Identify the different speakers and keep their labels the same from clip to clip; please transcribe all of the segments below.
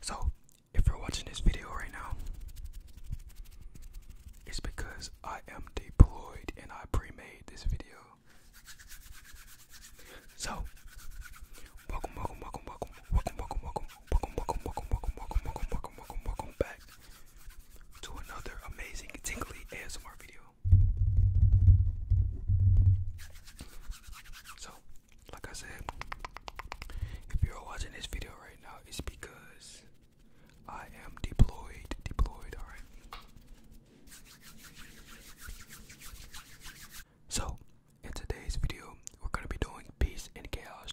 Speaker 1: So, if you're watching this video right now, it's because I am deployed and I pre made this video. So, welcome, welcome, welcome, welcome, welcome, welcome, welcome, welcome, welcome, welcome, welcome, welcome, welcome, welcome, welcome back to another amazing tingly ASMR video. So, like I said, if you're watching this video right now, it's because I am deployed, deployed, alright? So, in today's video, we're gonna be doing peace and chaos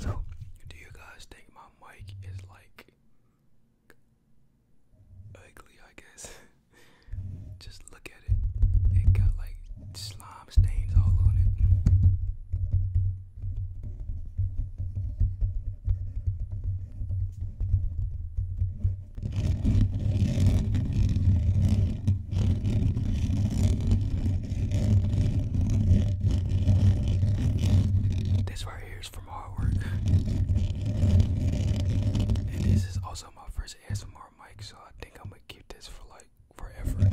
Speaker 1: So, do you guys think my mic is like ugly, I guess. Just look at it. It got like slime stains all on it. This right here is from Hardware. And this is also my first ASMR mic, so I think I'm gonna keep this for like forever.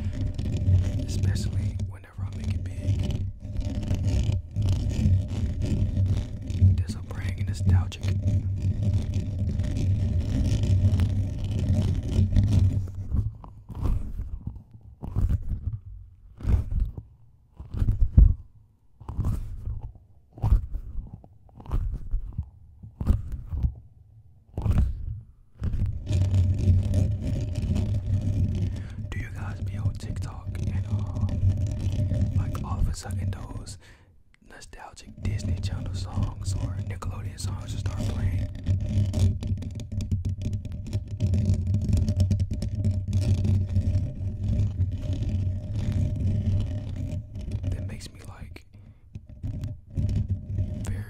Speaker 1: Especially whenever I make it big. This will bring nostalgic. Do you guys be on TikTok and uh, like all of a sudden those nostalgic Disney Channel songs or Nickelodeon songs just start playing? That makes me like very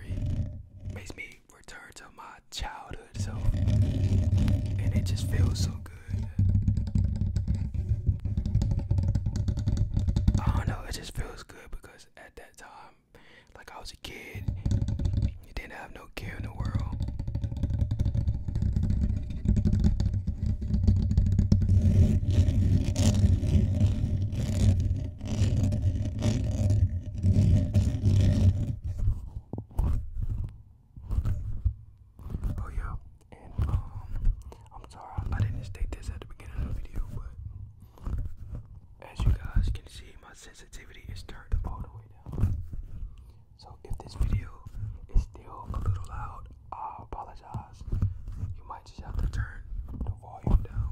Speaker 1: makes me return to my childhood self, and it just feels so good. I don't know, it just feels good because at that time like I was a kid. You didn't have no care in the world. Oh yeah, um, I'm sorry I didn't state this at the beginning of the video, but as you guys can see, my sensitivity is turned all the way down. So if this video is still a little loud, I apologize. You might just have to turn the volume down.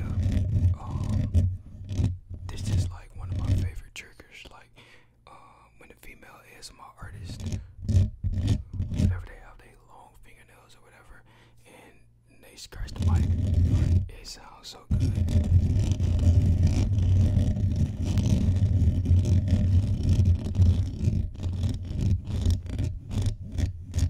Speaker 1: um, this is like one of my favorite triggers. Like, um, when a female is my artist, whatever they have, they long fingernails or whatever, and they scratch the mic. It sounds so good.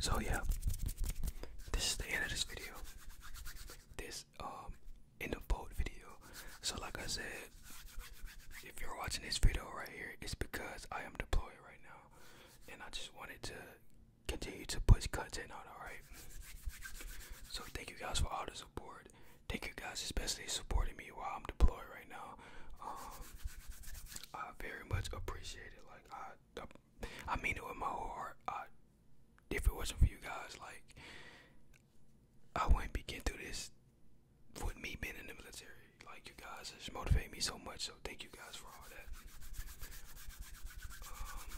Speaker 1: So yeah, this is the end of this video. This um in the boat video. So like I said, if you're watching this video right here, it's because I am deployed right now, and I just wanted to continue to push content out, alright? So thank you guys for all the support. Thank you guys especially supporting me while I'm deployed right now. Um, I very much appreciate it. Like I, I, mean it with my heart. if it wasn't for you guys, like I wouldn't be getting through this with me being in the military. Like you guys just motivate me so much thank you guys for all that. Um,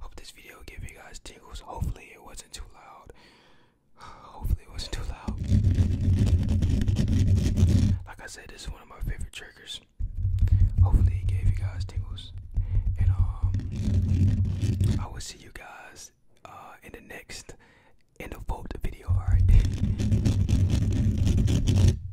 Speaker 1: hope this video gave you guys tingles. Hopefully it wasn't too loud. Hopefully it wasn't too loud. Like I said, this is one of my favorite triggers. Hopefully it gave you guys tingles. And um I will see you guys uh, in the next in the vote video, alright?